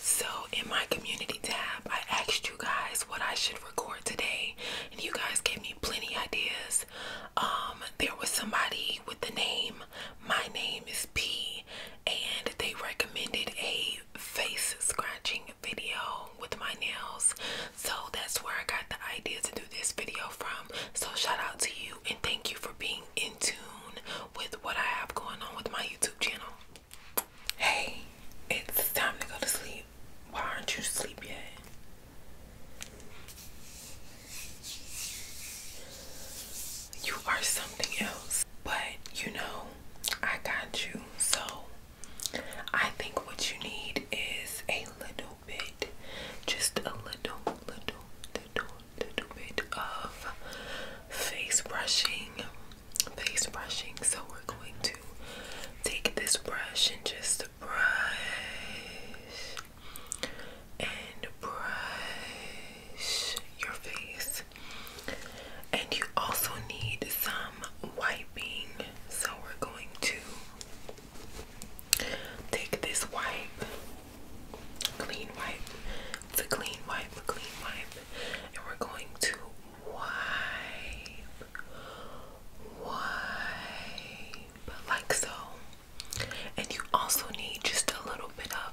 So in my community tab, I asked you guys what I should record today, and you guys gave me plenty ideas. Um, there was somebody with the name My Name is P, and they recommended a face scratching video with my nails. So that's where I got the idea to do this video from. So shout out to you and thank you for being in tune with what I have going on with my YouTube channel. Hey, it's time to go to sleep. Why aren't you asleep yet? You are something else, but you know, I got you. So, I think what you need is a little bit, just a little, little, little, little bit of face brushing face brushing. So we're going to take this brush and just brush and brush your face. And you also need some wiping. So we're going to take this wipe, clean wipe, the clean wipe, the clean wipe, and we're going to wipe, wipe, like so. And you also need just a little bit of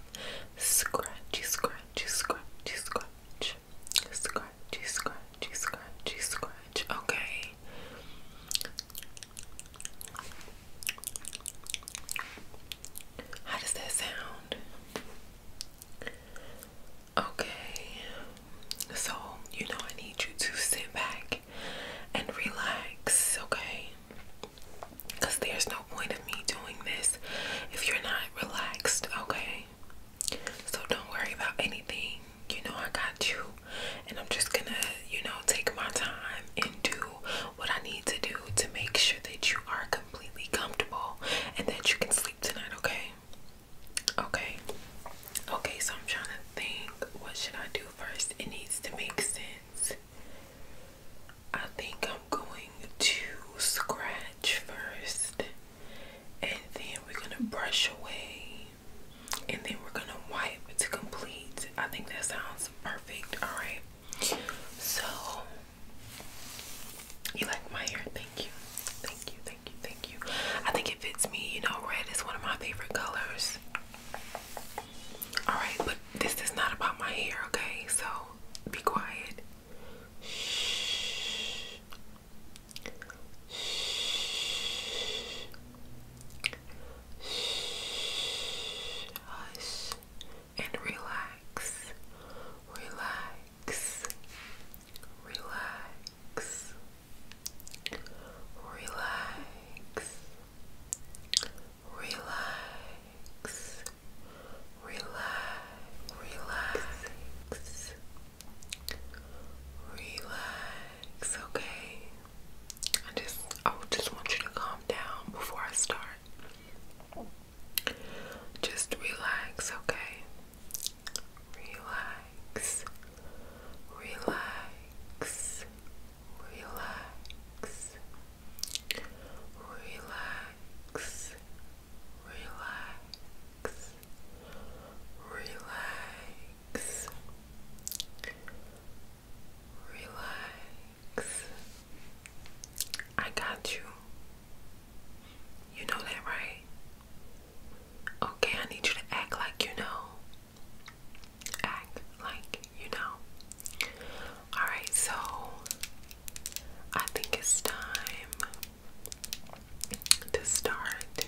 scratchy, scratch, scratchy, scratch, scratchy, scratch, scratchy, scratch. Okay. How does that sound? Okay, so you know, I need you to sit back and relax, okay? Because there's no point of me doing this if you're not relaxed, okay? So don't worry about anything. You know, I got you, and I'm just gonna, you know, take my time and do what I need to do to make sure that you are completely comfortable and that you can sleep tonight, okay? Okay. Okay, so I'm trying to think what should I do first? It needs to make sense. I think I'm going to scratch first and then we're gonna brush away and then we're gonna wipe to complete. I think that sounds perfect, alright? So you like my hair? Thank you. Thank you. Thank you. Thank you. I think it fits me. You know, red is one of my favorite colors. Alright, but this is not about my hair, okay? So be quiet. Shh. Shh. Shh. Hush and relax, relax, relax, relax, relax, relax, relax. Relax, okay. I just I just want you to calm down before I start. Just relax, okay? Relax, relax, relax, relax, relax, relax, relax. I got you. You know that, right? Okay, I need you to act like you know. Act like you know. Alright, so I think it's time to start.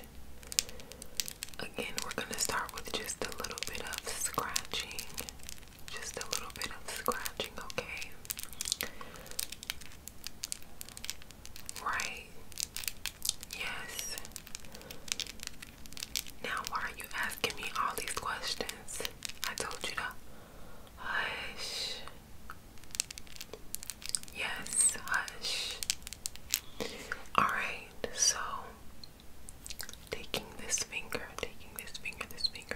Again, we're going to start with just a little bit of scratching. Just a little bit of scratching, okay? Right. Yes. Now, why are you asking me all these questions? I told you to hush. Yes, hush. Alright, so taking this finger, taking this finger, this finger,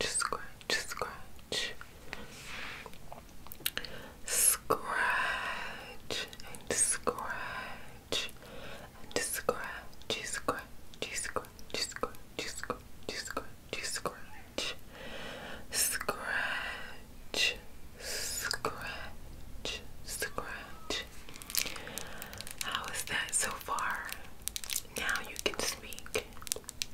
scratch, scratch. Scratch and scratch and scratch, scratch, scratch, scratch, scratch, scratch, scratch. Scratch, scratch, scratch. How is that so far? Now you can speak.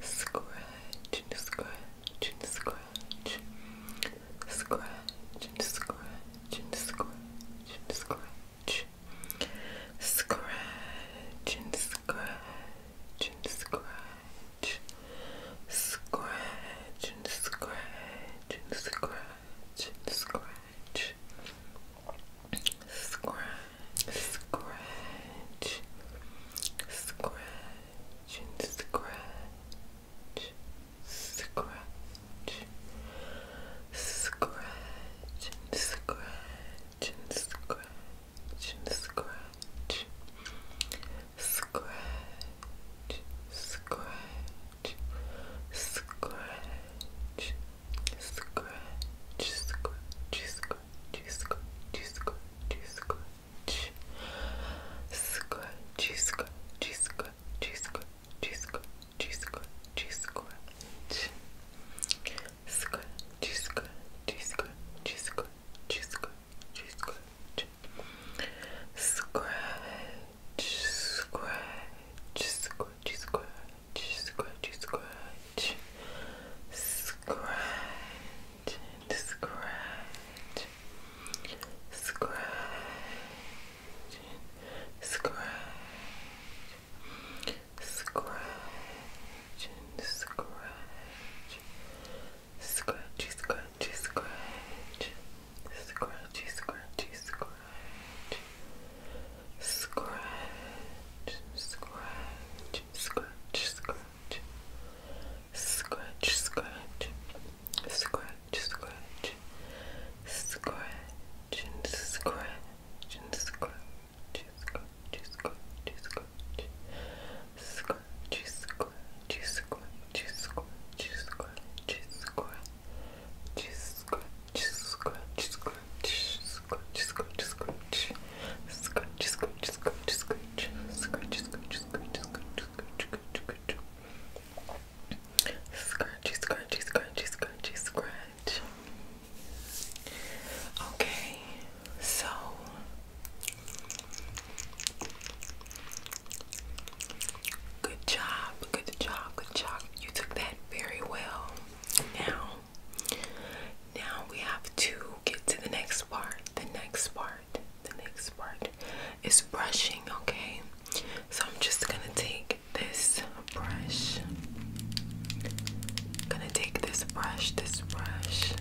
Scratch and scratch and scratch. Scratch and scratch and scratch and scratch. Scratch and scratch and scratch. Scratch and scratch and scratch and scratch. Scratch scratch, scratch, and scratch, scratch, scratch, and scratch, scratch, scratch, scratch, scratch, scratch. Scratch, scratch, scratch, scratchy, scratchy, scratchy, scratch. Scratchy, scratchy, scratchy, scratchy, scratchy, scratchy, scratch. Scratchy, scratchy, scratchy, scratchy, scratchy, scratch. Scratch, scratch, scratchy, scratch, scratchy, scratch. Scratch, and scratch, scratch, and scratch, scratch, and scratch, scratchy, scratchy, scratch, scratchy, scratchy, scratch. Scratch, scratch, scratch, scratch, scratch, scratch, scratch, scratch, scratch, and scratch, and scratch, scratch, scratch, scratch, scratch, scratch, scratch, scratch, scratch, scratch, scratch, scratch, scratch, scratch, Scratchy, scratchy, scratchy, scratchy, scratch. Okay, so good job, good job, good job. You took that very well. Now, now we have to get to the next part. The next part, the next part is brushing, okay? So I'm just gonna take this brush. gonna take this brush, this brush.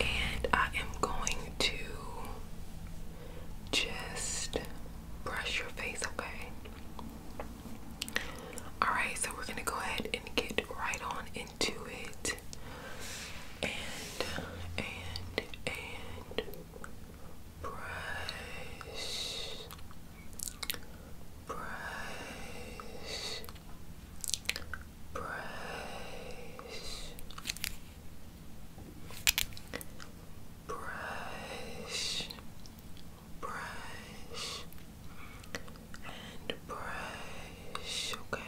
And I am going to just brush your face, okay? Alright, so we're gonna go ahead and get right on into it. And, and, and brush. Brace. Brace. Brush, brush, and brush, okay?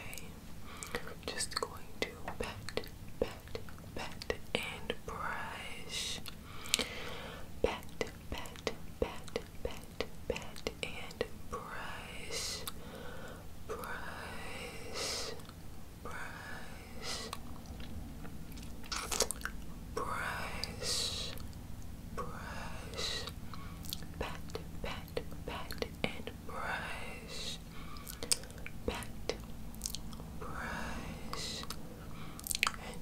Just going to pat, pat, pat, and brush. Pat, pat, pat, pat, pat, and brush, brush, brush, brush, brush, pat, pat, pat, and brush, pat, Brush,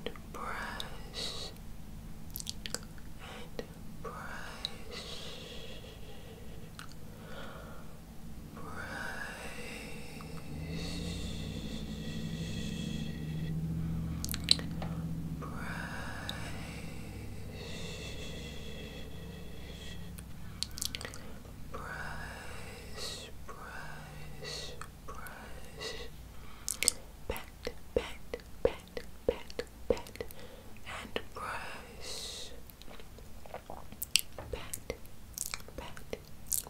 and brush and brush brush brush brush brush brush back pat, pat, pat, pat, and brush. Pat, pat, pat,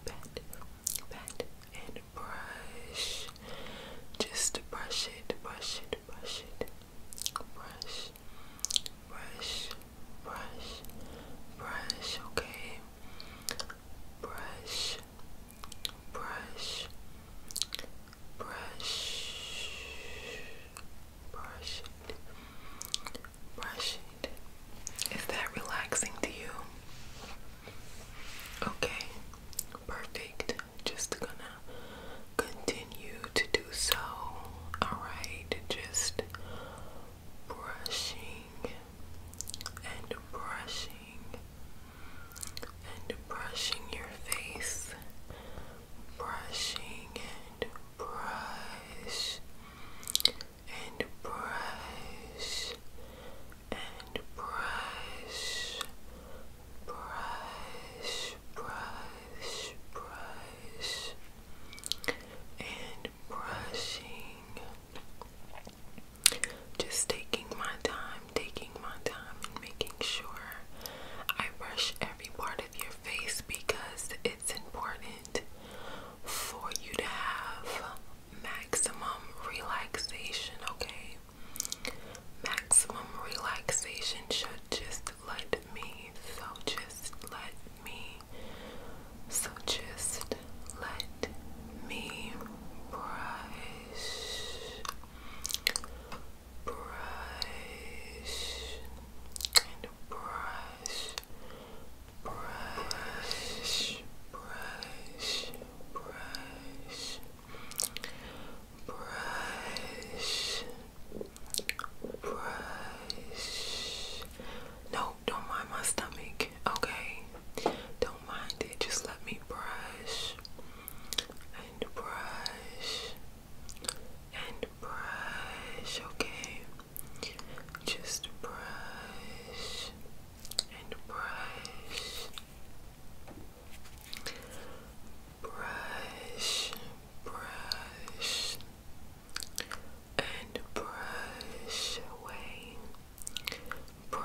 pat, and brush. Just brush it, brush it, brush it. Brush, brush, brush, brush, okay? Brush, brush, brush, brush it, brush it. Is that relaxing to you? Okay, perfect. Just gonna continue to do so. Alright, just brushing and brushing and brushing your face, brushing and brush and brush and brush, brush, brush, brush, and brushing. Just taking my time, taking my time, and making sure I brush every part of your face because it's important for you to have maximum relaxation, okay? Maximum relaxation should just let me, so just let me, so just let me brush brush and brush, brush, brush, brush, brush, brush. No, don't mind my stomach, okay? Don't mind it, just let me brush. Brush, and brush and brush, okay? Just brush and brush, brush, brush, and brush away brush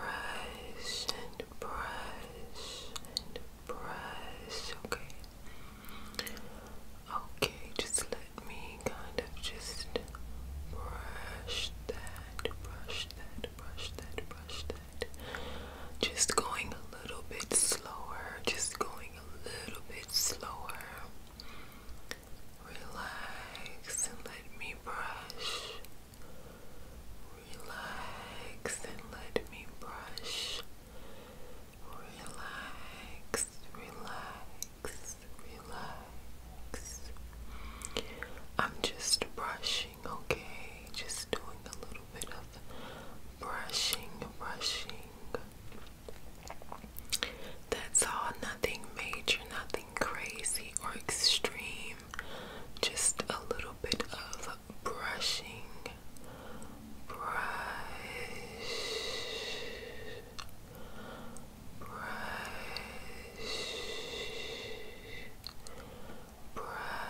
and brush and brush, okay? Okay, just let me kind of just brush that, brush that, brush that, brush that. Just going a little bit slower, just going a little bit slower. Relax and let me brush. Relax and let me brush. Relax, relax, relax. I'm just brushing, okay? Just doing a little bit of brushing, brushing. That's all, nothing major, nothing crazy or extreme just a little bit of brushing. Brush, brush, brush, brush, brush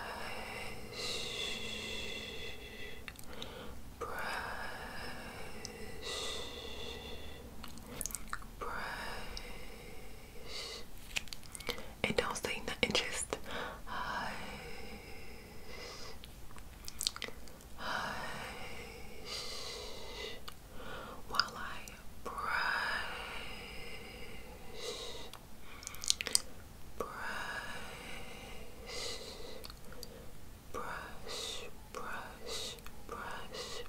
and don't say nothing, just hush, hush, while I brush, brush, brush, brush, brush.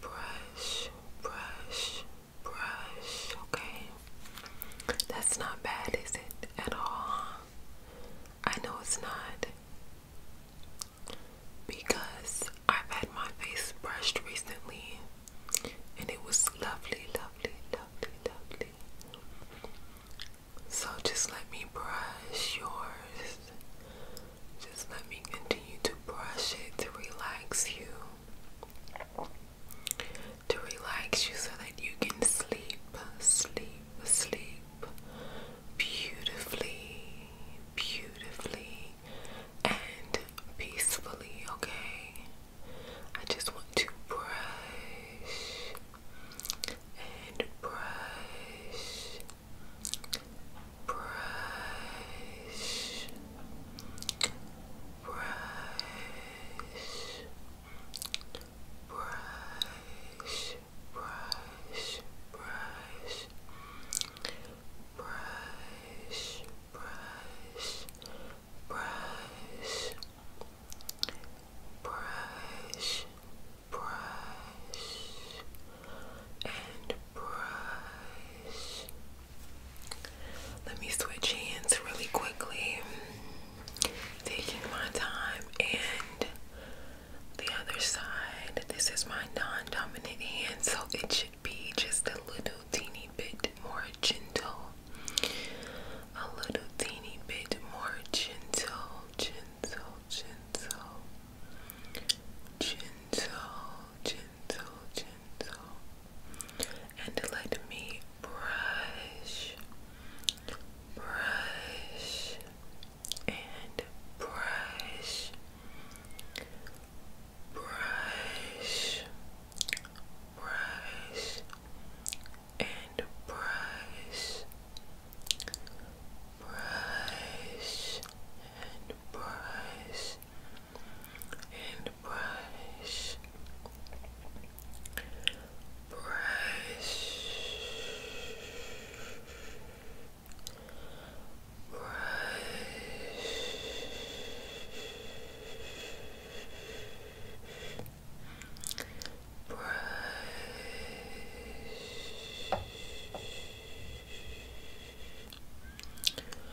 Brush, brush, brush, okay? That's not bad, is it? At all. I know it's not. Because I've had my face brushed recently and it was lovely, lovely, lovely, lovely. So just let me brush yours. Just let me continue to brush it to relax you to relax you so that you can sleep, sleep, sleep beautifully, beautifully, and peacefully, okay? I just want to brush and brush. Brush brush, brush, brush, brush, brush, brush, brush, brush, brush, and Brush, let me switch hands really quickly. Taking my time and the other side. This is my non-dominant hand, so it should be just a little teeny bit more gentle. A little teeny bit more gentle, gentle, gentle, gentle, gentle, gentle and let me brush, brush, and brush, brush, brush, and brush, brush, and brush and brush, brush, brush. Brush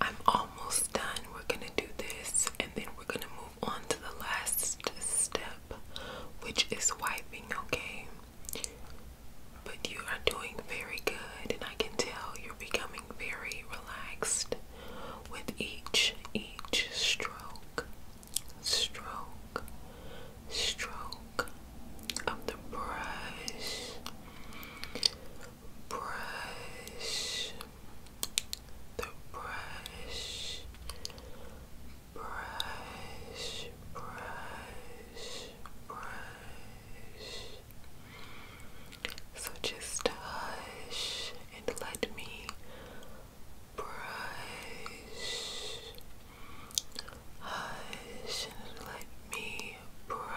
I'm almost done. We're gonna do this and then we're gonna move on to the last step, which is wiping, okay? But you are doing very good, and I can tell you're becoming very relaxed with each each stroke, stroke, stroke of the brush brush, the brush, brush, brush, brush. So just hush and let me brush. Hush and let me brush.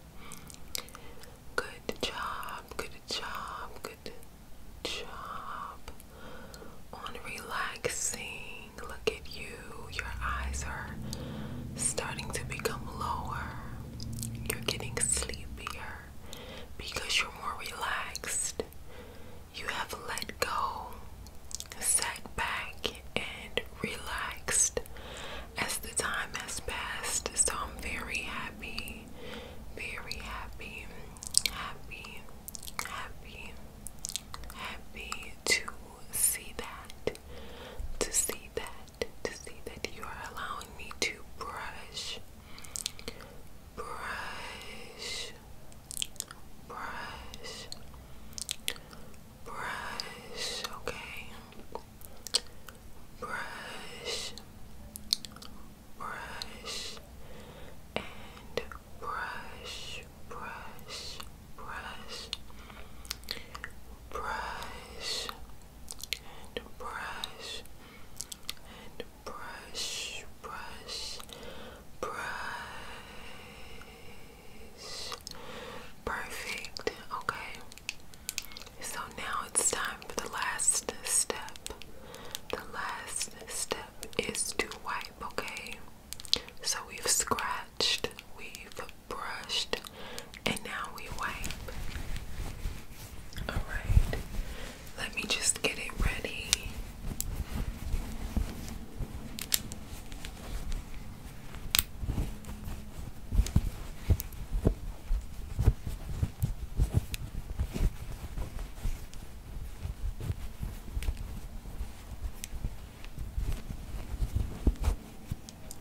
Good job, good job, good job. On relaxing, look at you. Your eyes are starting to become lower. You're getting sleepier because you're more relaxed. You have let go, sat back, and relaxed as the time has passed. So I'm very happy, very happy, happy, happy, happy to see that, to see that, to see that you are allowing me to brush, brush, brush. Brush, okay brush, brush, and brush, brush, brush, brush, and brush, and brush, brush, brush. Perfect. Okay. So now it's time for the last step. The last step is to wipe, okay? So we've scratched, we've brushed, and now we wipe. Alright, let me just get it ready.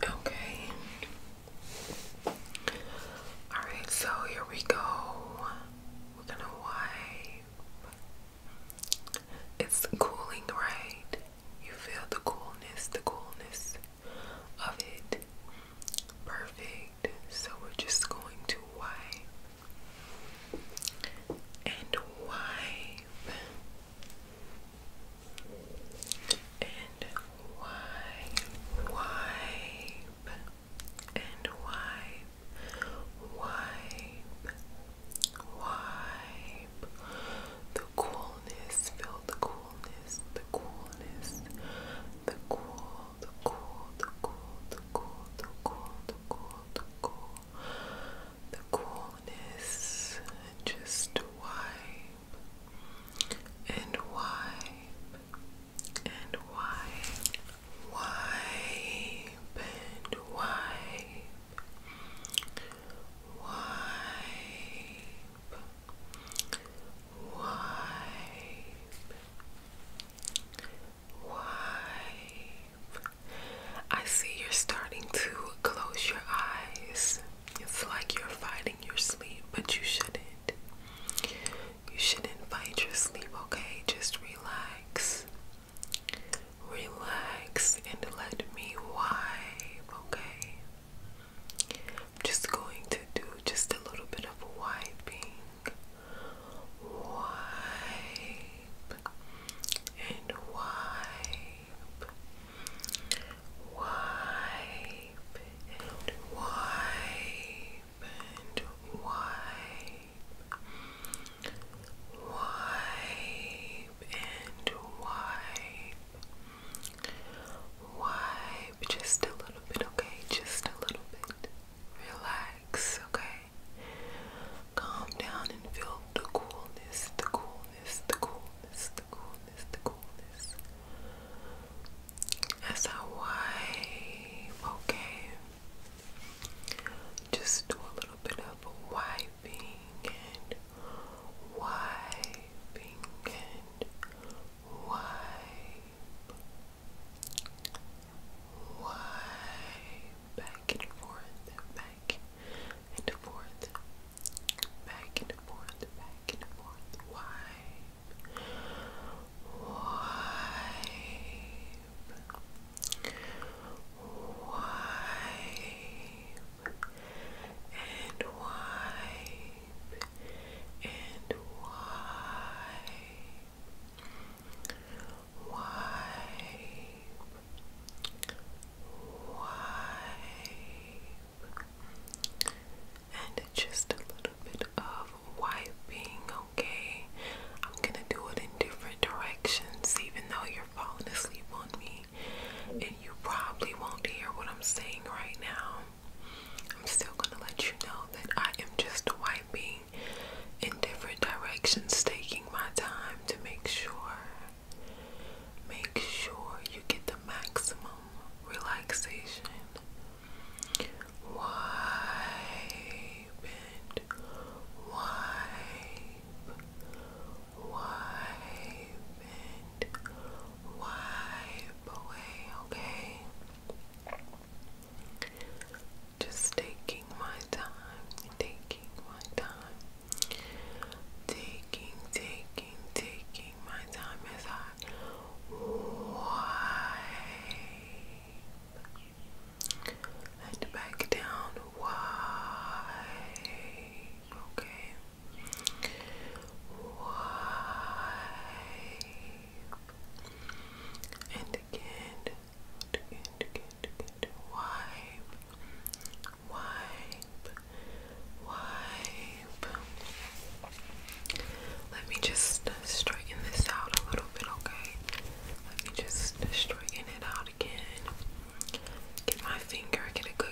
Okay. All right, so here we go. We're gonna wipe. It's cooling, right? You feel the coolness, the coolness of it. Perfect. So we're just going to wipe and wipe and wipe, wipe and wipe, wipe, wipe the coolness, feel the coolness, the coolness, the cool, the cool, the cool, the cool, the cool, the cool, the coolness, just wipe and wipe and wipe, wipe and wipe. Wipe Wipe. Wipe. I see you're starting to close your eyes. It's like you're fighting your sleep, but you shouldn't. You shouldn't fight your sleep, okay? Just relax. Relax and let me wipe, okay? I'm just going to do just a little bit of wiping. Wipe and wipe. Wipe and wipe and wipe. Wipe and wipe Wipe just a little bit, okay? Just a little bit. Relax, okay? Calm down and feel the coolness, the coolness, the coolness, the coolness, the coolness. As I wipe, okay? Just do a little bit of wiping and wiping and wipe, wipe, back and forth, back and forth, back and forth, back and forth, wipe, wipe, wipe, and wipe and wipe, wipe, wipe, and just a little bit of wiping, okay? I'm gonna do it in different directions, even though you're falling asleep on me, and you probably won't hear what I'm saying right now. I'm still gonna let you know that I am just wiping in different directions, taking my time to make sure make sure you get the maximum relaxation. Wipe and wipe, wipe and wipe away, okay? Just taking my time, taking my time, taking, taking, taking my time as I wipe and back down, wipe, okay? Wipe and again, again, again, again. Wipe, wipe, wipe. Let me just uh, straighten this out a little bit, okay? Let me just uh, straighten it out again. Get my finger, get a good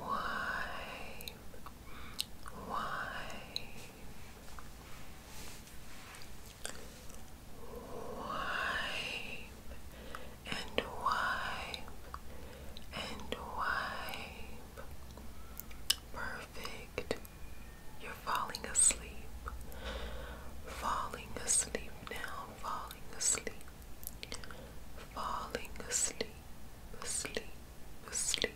wipe, wipe, wipe, and wipe, and wipe. Perfect. You're falling asleep. Falling asleep now. Falling asleep falling asleep, asleep, asleep.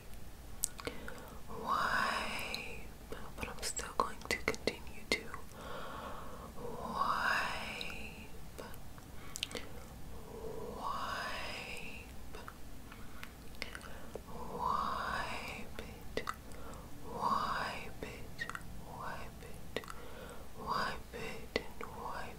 Wipe, but I'm still going to continue to wipe, wipe, wipe it, wipe it, wipe it, wipe it, and wipe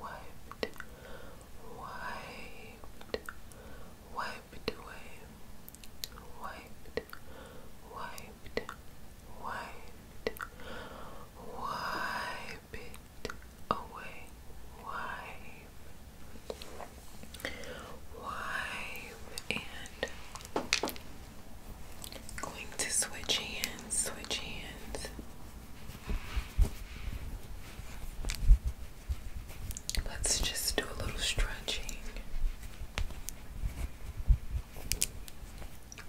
wiped, wiped, wiped away, wiped, wiped, wiped, wipe away, wipe, wipe, and going to switch hands, switch hands. Let's just do a little stretching.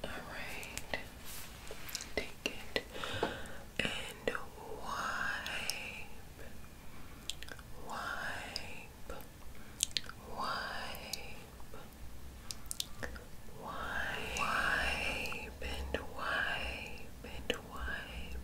All right, take it and wipe, wipe, wipe, wipe, wipe and wipe and wipe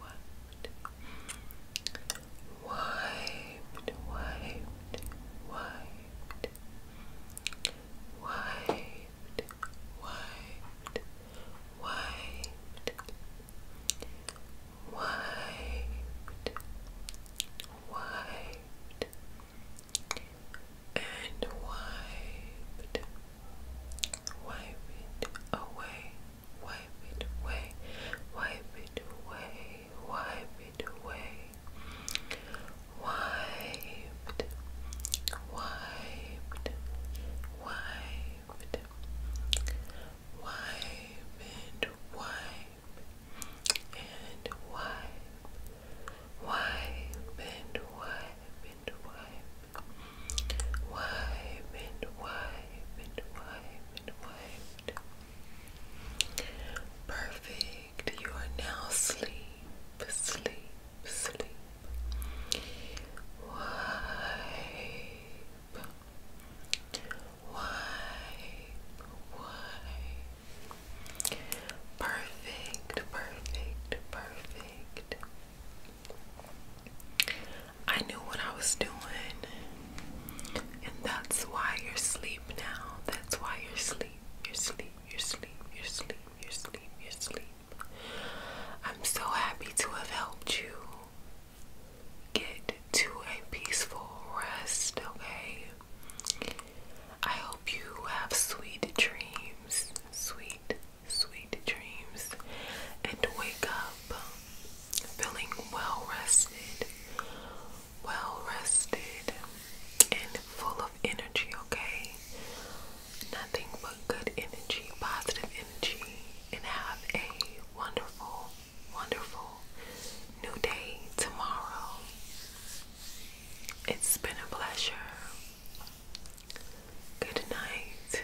wiped, wiped, wiped, wiped, wiped, wiped, wiped, wiped, wiped, and wiped, wipe away, wipe it away, wipe it away, wipe it away, wiped, wiped, wiped, wipe and wipe and wipe, wipe and wipe and wipe wipe and wipe and wipe and wipe. Perfect. You are now asleep, sleep, sleep. Wipe, wipe, wipe. Perfect, perfect, perfect. I knew what I was doing, and that's why you're asleep now. That's why you're asleep. You're asleep. You're asleep. You're asleep. You're asleep. You're asleep. I'm so happy to have helped you get to a peaceful rest, okay? I hope you have sweet dreams, sweet, sweet dreams, and wake up feeling well rested, well rested, and full of energy, okay? Nothing but good energy, positive energy, and have a wonderful, wonderful new day tomorrow. It's been a pleasure. Good night.